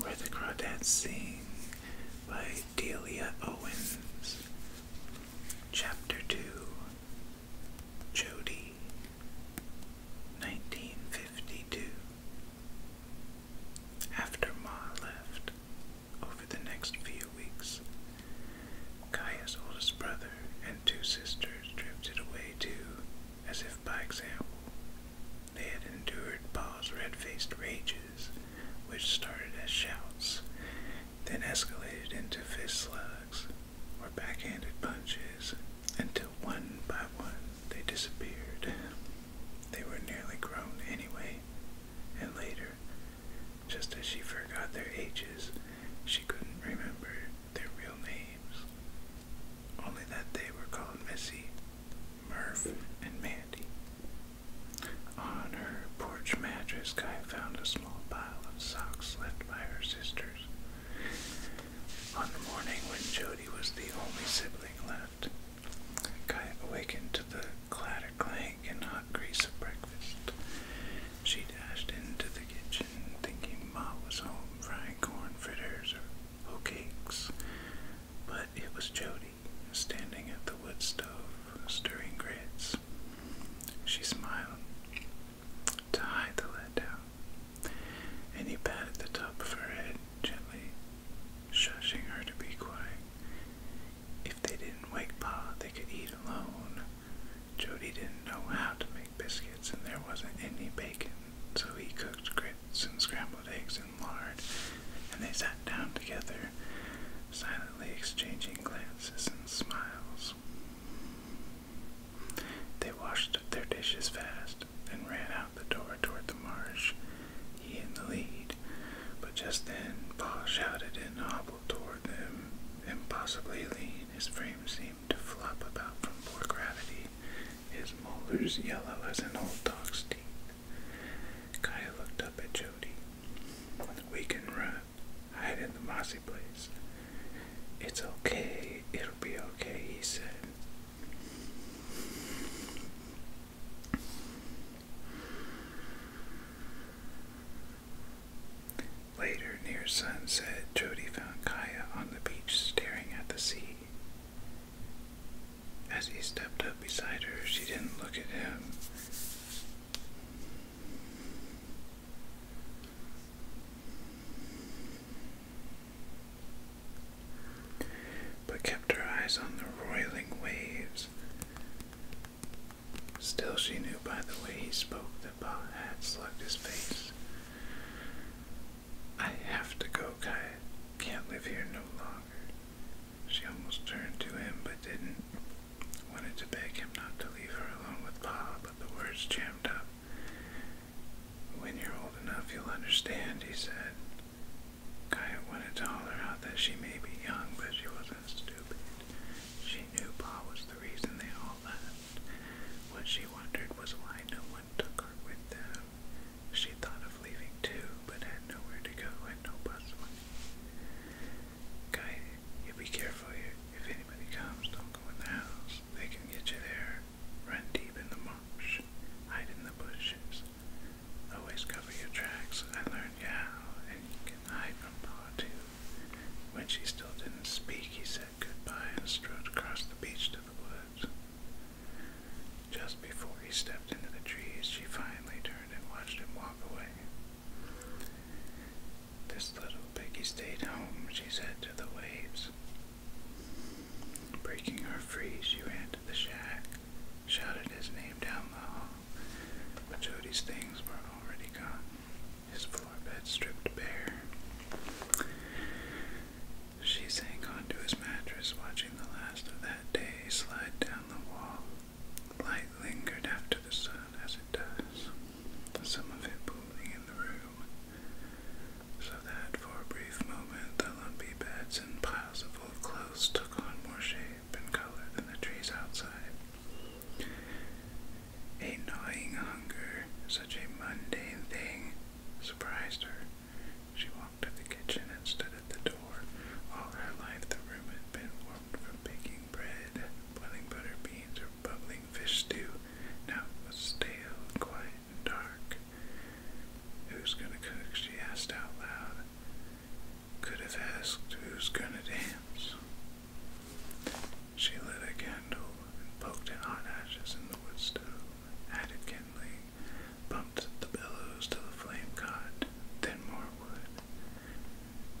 Where the Crawdads Sing by Delia Owens. Chapter 2 Jody 1952 after Ma left, over the next few weeks, Kaya's oldest brother and two sisters drifted away too, as if by example. They had endured Pa's red-faced rages, which started as shouts, then escalated into fist slugs or backhanded punches, until one by one they disappeared. They were nearly grown anyway, and later, just as she forgot their ages, she couldn't remember their real names. Only that they were called Missy, Murph, and Mandy. On her porch mattress, Guy found a small pile of socks left by her sisters. On the morning when Jody was the only sibling left, Kai awakened to the clatter clank and hot grease of breakfast. She dashed into the kitchen, thinking Ma was home frying corn fritters or hoe But it was Jody, standing at the wood stove, stirring grits. She smiled to hide the letdown, and he patted the top of her head gently shushing her to be quiet. If they didn't wake Pa, they could eat alone. Jody didn't know how to make biscuits, and there wasn't any bacon, so he cooked grits and scrambled eggs and lard, and they sat down together, silently exchanging glances and smiles. They washed up their dishes fast and ran out the door toward the marsh, he in the lead. But just then, Paul shouted and hobbled toward them, impossibly lean. His frame seemed to flop about from poor gravity, his molars yellow as an old dog's teeth. Kaya looked up at Jody. We can run, hide in the mossy place. It's okay, it'll be okay, he said. Later, near sunset, Jody found Kaya on the beach staring at the sea. As he stepped up beside her, she didn't look at him but kept her eyes on the roiling waves. Still, she knew by the way he spoke that Bob had slugged his face. I have to go, Kai. Can't live here no longer. She almost turned to him, but didn't. Wanted to beg him not to leave her alone with Pa, but the words jammed up. When you're old enough, you'll understand, he said. Kaya wanted to holler out that she may be young, but she wasn't stupid. She knew Pa was the reason they all left. What she wondered was why no one took her with them. She thought of leaving too, but had nowhere to go and no bus money. Kaya, you be careful here. If anybody comes, don't go in the house. They can get you there. Run deep in the marsh. Hide in the bushes. Always cover your tracks. I learned, how, and you can hide from Paw too. When she still didn't speak, he said goodbye and strode across the beach to the woods. Just before he stepped into the trees, she finally turned and watched him walk away. This little piggy stayed home, she said to the waves. Breaking her freeze, you ran to the shack, shouted his name down the hall, but Jody's things were already gone, his floor bed stripped bare. She sank onto his mattress, watching the last of that day slide down the wall. Light lingered after the sun, as it does, some of it pooling in the room so that for a brief moment the lumpy beds and piles of old clothes took on more shape and color than the trees outside. A gnawing hunger, such a mundane thing, surprised her. She walked to the kitchen and stood at the door. All her life the room had been warmed from baking bread, boiling butter beans, or bubbling fish stew. Now it was stale and quiet dark. Who's gonna cook? She asked out loud. Could have asked who's gonna dance. She lit a candle and poked at hot ashes in the wood stove, added kindling, bumped the bellows till the flame caught, then more wood.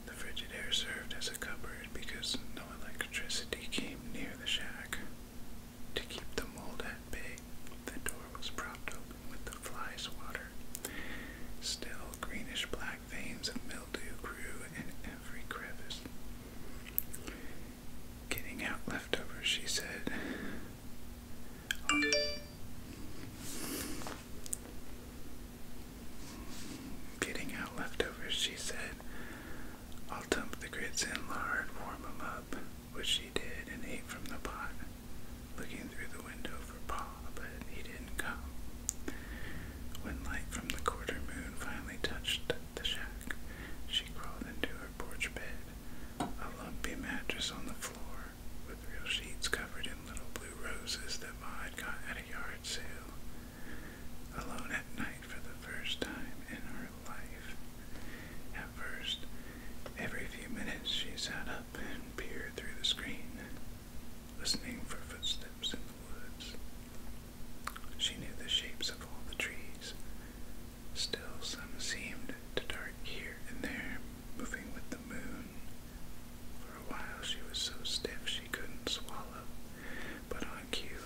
The frigid air served as a cupboard because no electricity came near the shack. To keep the mold at bay, the door was propped open with the fly water. Still, greenish black veins of mildew grew in every crevice. Getting out leftovers, she said. Getting out leftovers, she said. I'll dump the grits in lard, warm them up which she did, and ate from the pot, looking through the window for Paul, but he didn't come. When light from the quarter moon finally touched the shack, she crawled into her porch bed, a lumpy mattress on the floor, with real sheets covered in little blue roses that Ma had got at a yard sale. Alone at night for the first time in her life life. At first, every few minutes she sat up and peered through the screen, listening for footsteps in the woods. She knew the shapes of all the trees. Still, some seemed to dart here and there, moving with the moon. For a while she was so stiff she couldn't swallow, but on cue,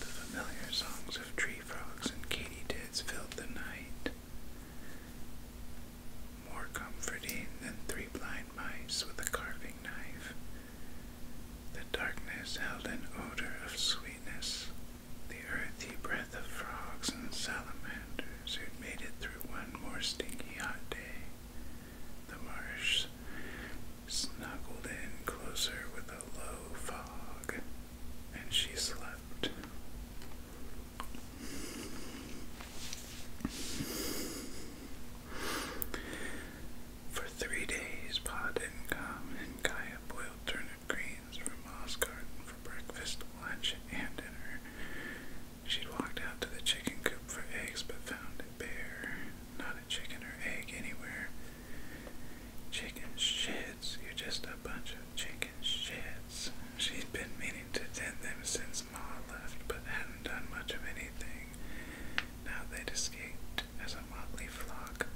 the familiar songs of tree frogs and katydids filled the night. More comforting than three blind mice with a carving knife. The darkness held an odor of sweetness, the earthy breath of frogs and salamanders who'd made it through one more stinky hot day. The marsh snuggled in closer with a low fog, and she slept. For three days, Pod Incom and Kaya boiled turnip greens from Moss for breakfast, lunch, and dinner. She'd walked out to the chicken coop for eggs but found it bare. Not a chicken or egg anywhere. Chicken shits, you're just a bunch of chickens chicken She's been meaning to tend them since Ma left, but hadn't done much of anything. Now they'd escaped as a motley flock,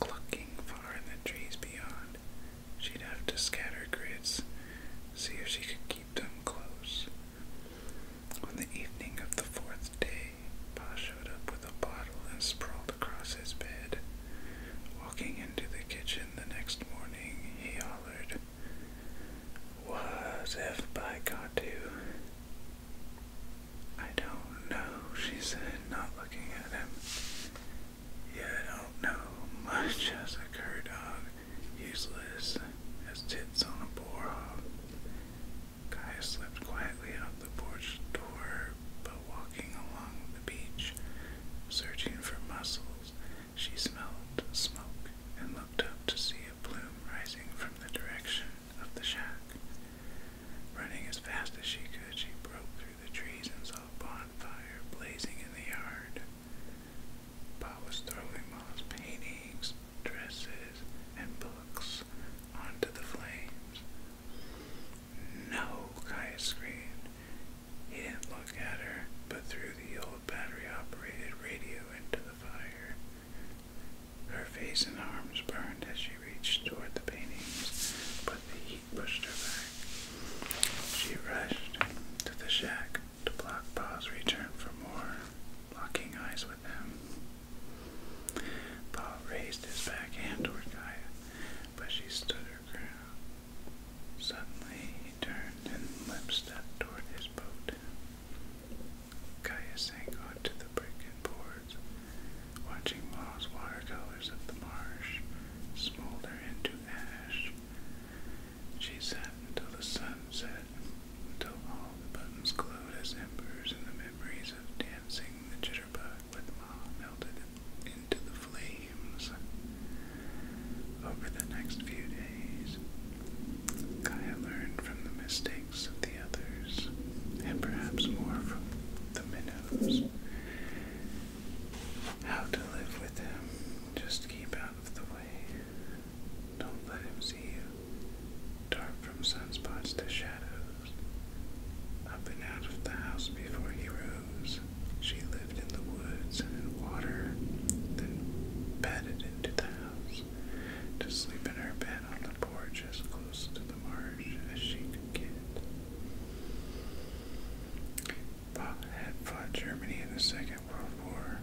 clucking far in the trees beyond. She'd have to scatter grits, see if she could keep them close. On the evening of the fourth day, Pa showed up with a bottle and sprawled across his bed. Walking into the kitchen the next morning, he hollered, "Was have by got I don't know, she said, not looking at him. You don't know much as a cur dog, useless as tits on a boar hog. Guy slipped quietly out the porch door, but walking along the beach, Searching for mussels, she smelled smoke and looked up to see a plume rising from the direction of the shack. Running as fast as she could, she broke through the trees and saw a bonfire blazing in the yard. Pa was throwing Ma's paintings, dresses, and books onto the flames. No, Kaya screamed. He didn't look at her, but threw the old battery-operated radio into the fire. Her face and arms burned as she reached toward the paintings, but the heat pushed her back. She rushed to the shack to block Paul's return for more, locking eyes with him. Paul raised his back hand toward Kaya, but she stood Suddenly he turned and lip-stepped toward his boat. Caius sank onto the brick boards, watching Ma's watercolors of the marsh smolder into ash. She sat until the sun set, until all the buttons glowed as embers in the memories of dancing the jitterbug with Ma melted into the flames. Over the next few days, Kaya learned from the mistakes of the others, and perhaps more from the minnows, how to live with him. Just keep out of the way. Don't let him see you. Dark from sunspots to shadows. Up and out of the house before he rose, she lived in the woods and in water, then padded into the house to sleep in her bed on the porch as close to the marsh as she could get. Bob had fought Germany in the Second World War,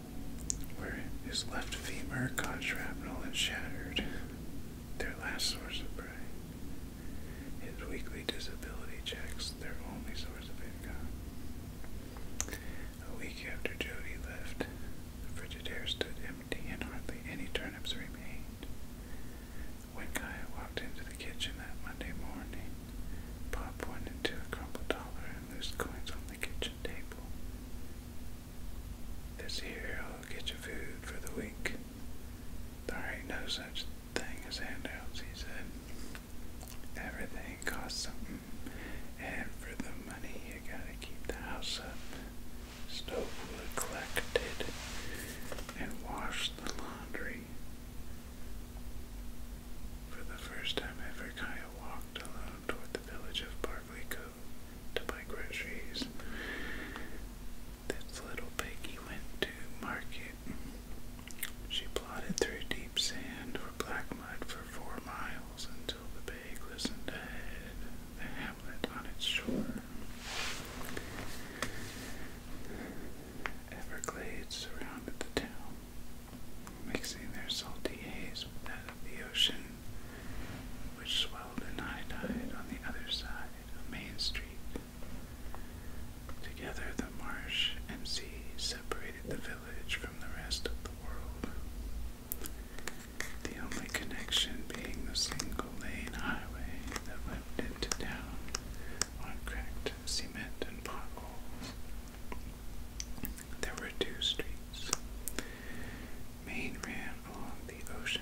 where his left femur caught shrapnel and shattered. Their last source of prey. His weekly disability checks, their only source of income. A week after Jody left, the Frigidaire stood empty and hardly any turnips remained. When Kaya walked into the kitchen that Monday morning, Pop pointed to a crumpled dollar and loose coins on the kitchen table. This here, will get you food for the week. There ain't no such thing as handouts, he said. Everything costs something, and for the money you gotta keep the house up. Stove wood collected and wash the laundry. For the first time ever, Kaya walked alone toward the village of Barkley Cove to buy groceries. This little piggy went to market. She plodded through deep sand or black mud for four miles until the bay glistened ahead, the hamlet on its shore. Everglades surrounded the town, mixing their salty haze with that of the ocean, which swelled in high tide on the other side of Main Street. Together, the marsh and sea separated the village from the rest of the world. The only connection being the single lane highway that led into town on cracked cement and potholes. There were two streets. Main ran along the ocean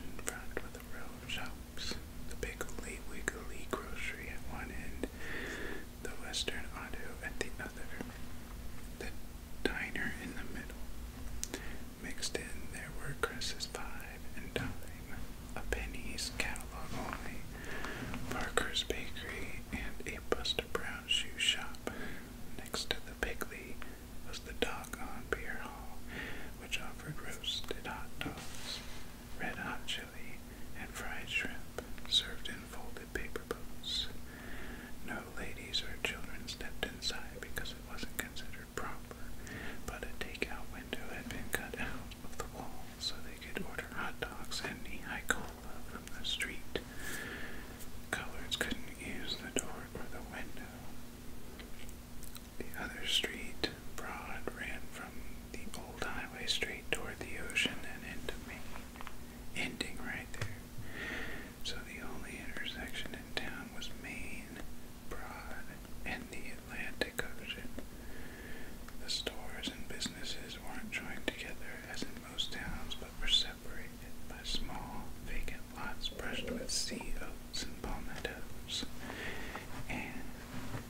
the road shops, the big Piggly Wiggly grocery at one end, the Western Auto at the other, the diner in the middle. Mixed in, there were Chris's five and dime, a penny's catalog only, Parker's bakery, and a Buster Brown shoe shop. Next to the Piggly was the Dock on Beer Hall, which offered roasted hot dogs, red hot chili, and fried shrimp served in folded paper boats. No ladies or children stepped inside because it wasn't considered proper, but a takeout window had been cut out of the wall so they could order hot dogs and knee-high cola from the street. Colors couldn't use the door or the window. The other street, Broad, ran from the old highway straight toward the ocean and into Maine, ending right there. So the only intersection in town was Maine, Broad, and the Atlantic Ocean. The stores and businesses weren't joined together as in most towns, but were separated by small, vacant lots brushed with sea oats and palmettos, and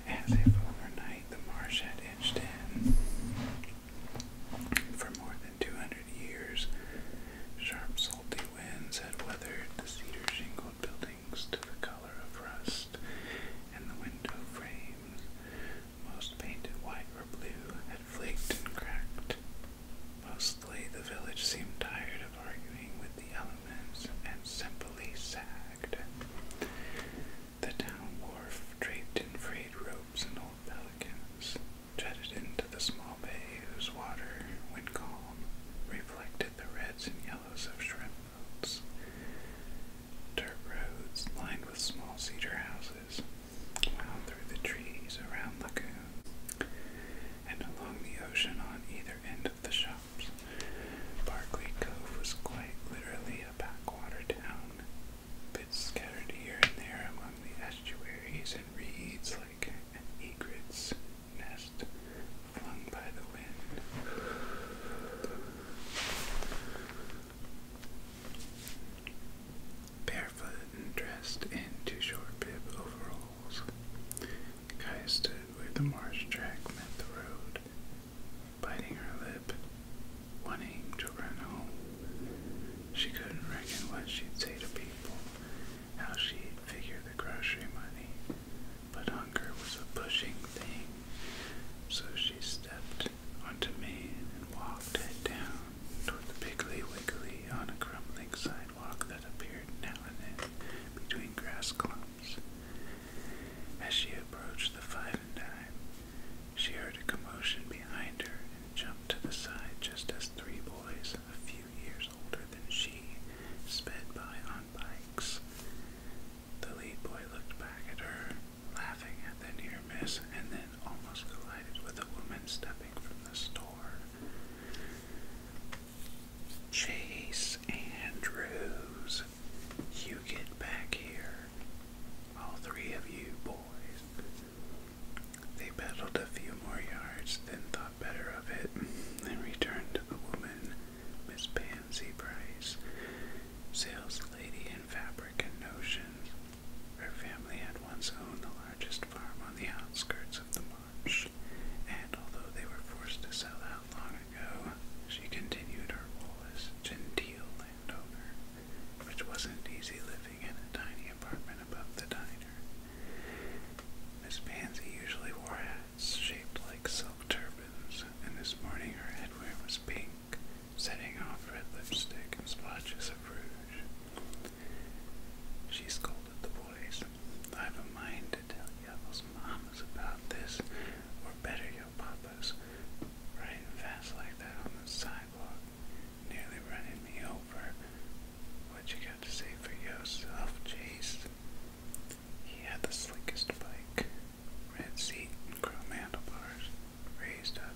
as if overnight the marsh had inched in. For more than two hundred years, sharp, salty winds had weathered the cedar shingled buildings to the color of rust, and the window frames, most painted white or blue, had flaked and cracked. Mostly the village seemed tired of arguing with the elements and simply sat the town wharf, draped in frayed ropes and old pelicans, jutted into the small bay whose water, when calm, reflected the reds and yellows of shrimp boats. Dirt roads lined with small cedar houses wound through the trees around lagoons and along the ocean on either end of the shore shops. Barclay Cove was quite literally a backwater town, bits scattered here and there among the estuaries and reeds like an egret's nest flung by the wind. Barefoot and dressed in too short bib overalls, Kai stood where the marsh track met the road, biting her lip, wanting to run home. She couldn't reckon what she'd say to people, how she'd figure the grocery money, but hunger was a pushing thing, so she stepped onto Maine and walked head down toward the Piggly Wiggly on a crumbling sidewalk that appeared now and then between grass clumps. As she approached the five and dime, she heard a commotion behind her and jumped to the side just as three boys, a few years older than she, sped by on bikes. The lead boy looked back at her, laughing at the near miss, and then almost collided with a woman stepping from the store. Chase Andrews, you get back here. All three of you boys. They pedaled a few more yards, then thought better of it, and returned to the woman, Miss Pansy Bryce, sales lady in fabric and notions. Her family had once owned the largest farm on the outskirts of the marsh and although they were forced to sell out long ago, she continued her role as genteel landowner, which wasn't easy living in a tiny apartment above the diner. Miss Pansy usually wore hats shaped like silk turbans, and this morning her headwear was pink, setting off red lipstick and splotches of rouge. She scolded the boys. I have a mind to tell you mamas about this, or better, your papas, riding fast like that on the sidewalk, nearly running me over. What you got to say for yourself, Chase? He had the slickest bike, red seat chrome handlebars, raised up.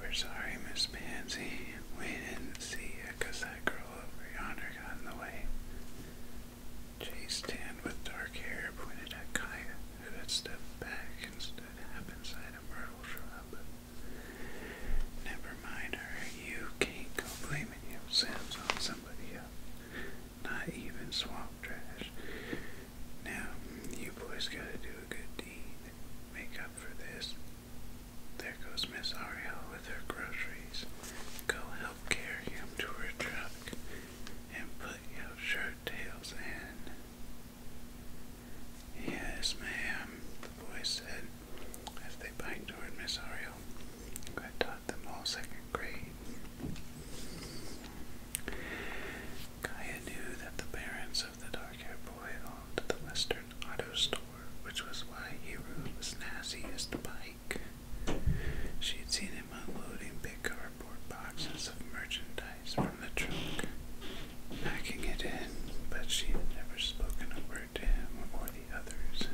We're sorry, Miss Pansy. We didn't see because that girl over yonder got in the way. Chased Dan with dark hair pointed at Kaya, who had stepped back and stood half inside a myrtle shrub. Never mind her, you can't go blaming yourselves on somebody else. Not even swamp trash. Now, you boys gotta do a good deed. Make up for this. There goes Miss Ariel with her groceries. Go help carry him to her truck and put your shirt tails in. Yes, ma'am, the boy said as they biked toward Miss Ariel, who taught them all second grade. Kaya knew that the parents of the dark-haired boy owned the Western Auto Store, which was why Hiro was snazzy as to buy she had seen him unloading big cardboard boxes of merchandise from the truck, packing it in, but she had never spoken a word to him or the others.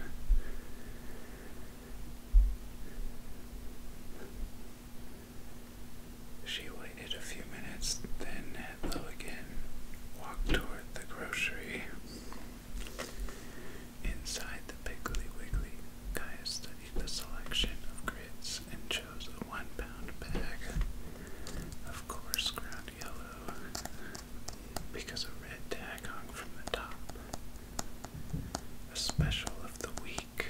She waited a few minutes, then had low again walked toward the grocery. Inside the Piggly Wiggly, Gaia studied the selection of grits and chose a one pound bag of coarse ground yellow because a red tag hung from the top. A special of the week.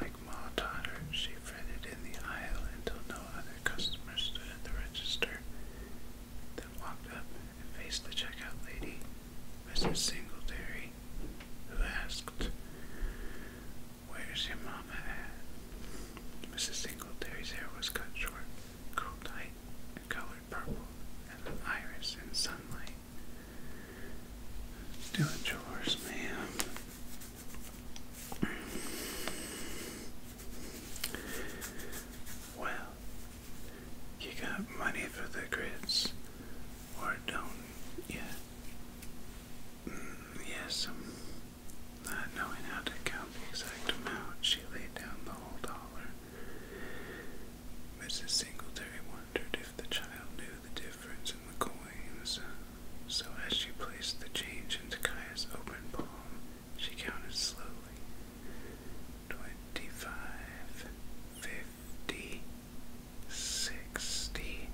Like Ma Totter, she fretted in the aisle until no other customer stood at the register, then walked up and faced the checkout lady, Mrs. Singletary, who asked, Where's your mama at? Mrs. Singletary's hair was cut short, curled tight, and colored purple, and an iris in sunlight. Doing chores, ma'am. Well, you got money for the grits, or don't you? Mm, yes, not knowing how to count the exact amount, she laid down the whole dollar. Mrs. Singletary wondered if the child knew the difference in the coins, so as she placed the change into Kaya's open palm, she counted slowly. Twenty-five, fifty, sixty,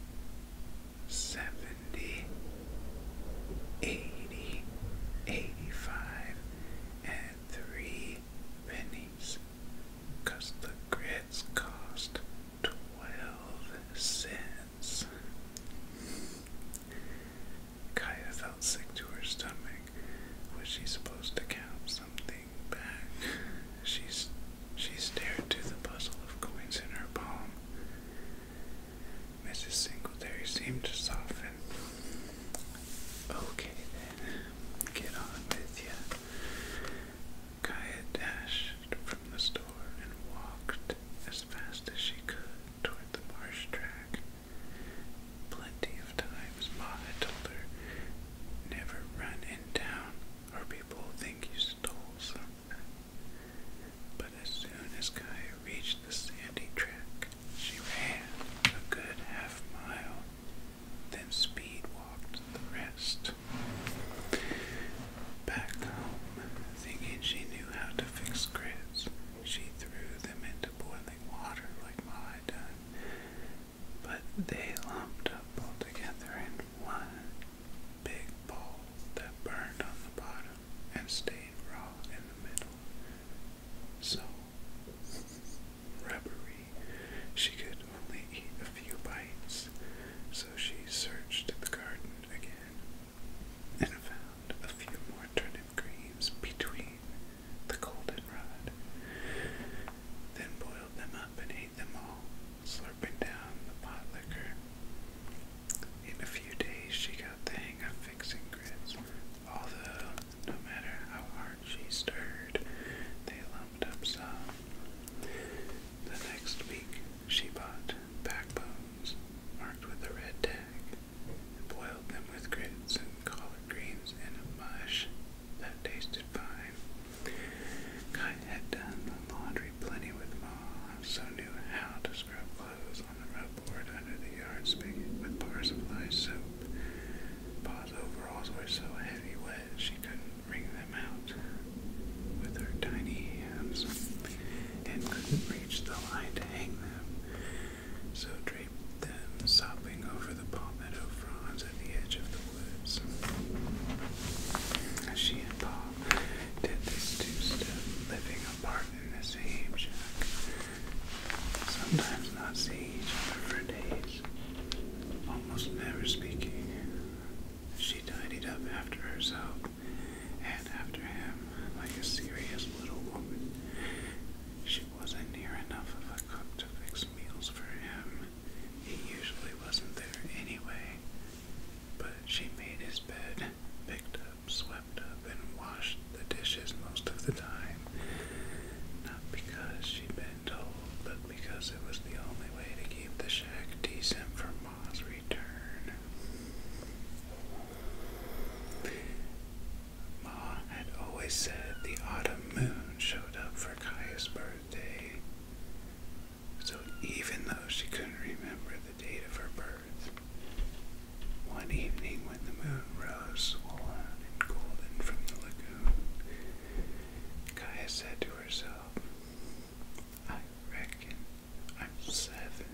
seventy, eighty, eighty-five, and three pennies, cause the grits cost twelve cents. Kaya felt sick to her stomach. Was she supposed to count something back? She, she stared to the puzzle of coins in her palm. Mrs. Singletary seemed to soften. Okay then, get on with ya. Kaya dashed from the store and walked as fast as she could toward the marsh track. Plenty of times Maha told her, never run in town or people will think you stole something. But as soon as Kaya reached the sandy track, she ran a good half mile, then speed walked the rest. Back home, thinking she knew how to fix grids, she threw them into boiling water like my done, but they lumped up all together in one big bowl that burned on the bottom and stayed raw in the middle. So rubbery, she could only eat a few bites, so she searched the garden again and found a few more turnips creams between the goldenrod. Then boiled them up and ate them all, slurping down the pot liquor. In a few days, she got the hang of fixing grits, although no matter how hard she stirred, they lumped up some. The next week, she bought backbones marked with a red tag boiled them with grits and collard greens in a mush that tasted fine. Kai had done the laundry plenty with Ma, so knew how to scrub clothes on the rub board under the yard spigot with bars of lye soap. Pa's overalls were so heavy wet she couldn't wring them out with her tiny hands and couldn't reach the line to hang them. So drape them, sopping over the palmetto fronds at the edge of the woods. As She and Bob did this two-step, living apart in this age. Sometimes not see each other for days, almost never speaking. She tidied up after herself and after him like a serious little woman wasn't near enough of a cook to fix meals for him. He usually wasn't there anyway. But she made his bed, picked up, swept up, and washed the dishes most of the time. Not because she'd been told, but because it was the only way to keep the shack decent for Ma's return. Ma had always said the autumn moon showed up for Kaya's birthday, so even though she couldn't remember the date of her birth, one evening when the moon rose swollen and golden from the lagoon, Kaya said to herself, I reckon I'm seven.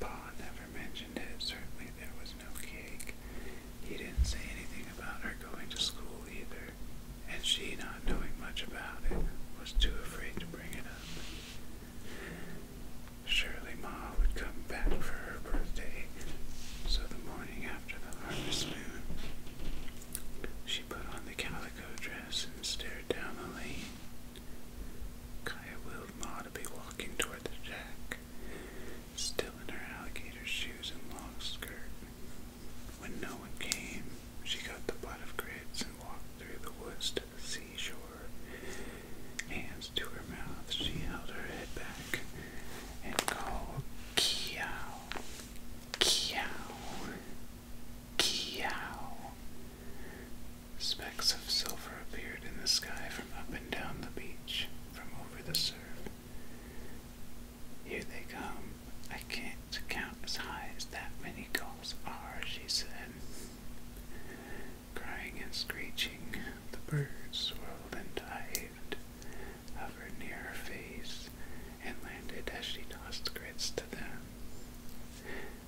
Pa never mentioned it. Certainly there was no cake. He didn't say anything about her going to school either, and she, not knowing much about it, was too afraid to bring it up. Surely Ma would come back for her birthday, so the morning after the harvest moon, she put on the calico dress and stared down the lane. Kaya willed Ma walking toward the shack, still in her alligator shoes and long skirt. When no one came, she got the butt of grits and walked through the woods to the seashore. Hands to her mouth, she held her head back and called Kiao, Kiao, Kiao. Specks of silver appeared in the sky from up and down the beach, from over the surf. Here they come. I can't count as high as that many gulls are, she said. Crying and screeching, the birds swirled and dived, hovered near her face, and landed as she tossed grits to them.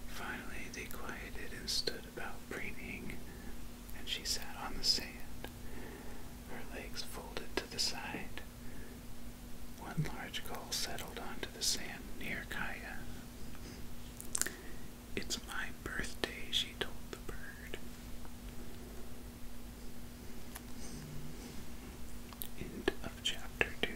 Finally, they quieted and stood about preening, and she sat on the sand, her legs folded to the side. One large gull settled onto the sand near Kaya. It's my birthday, she told the bird. End of chapter two.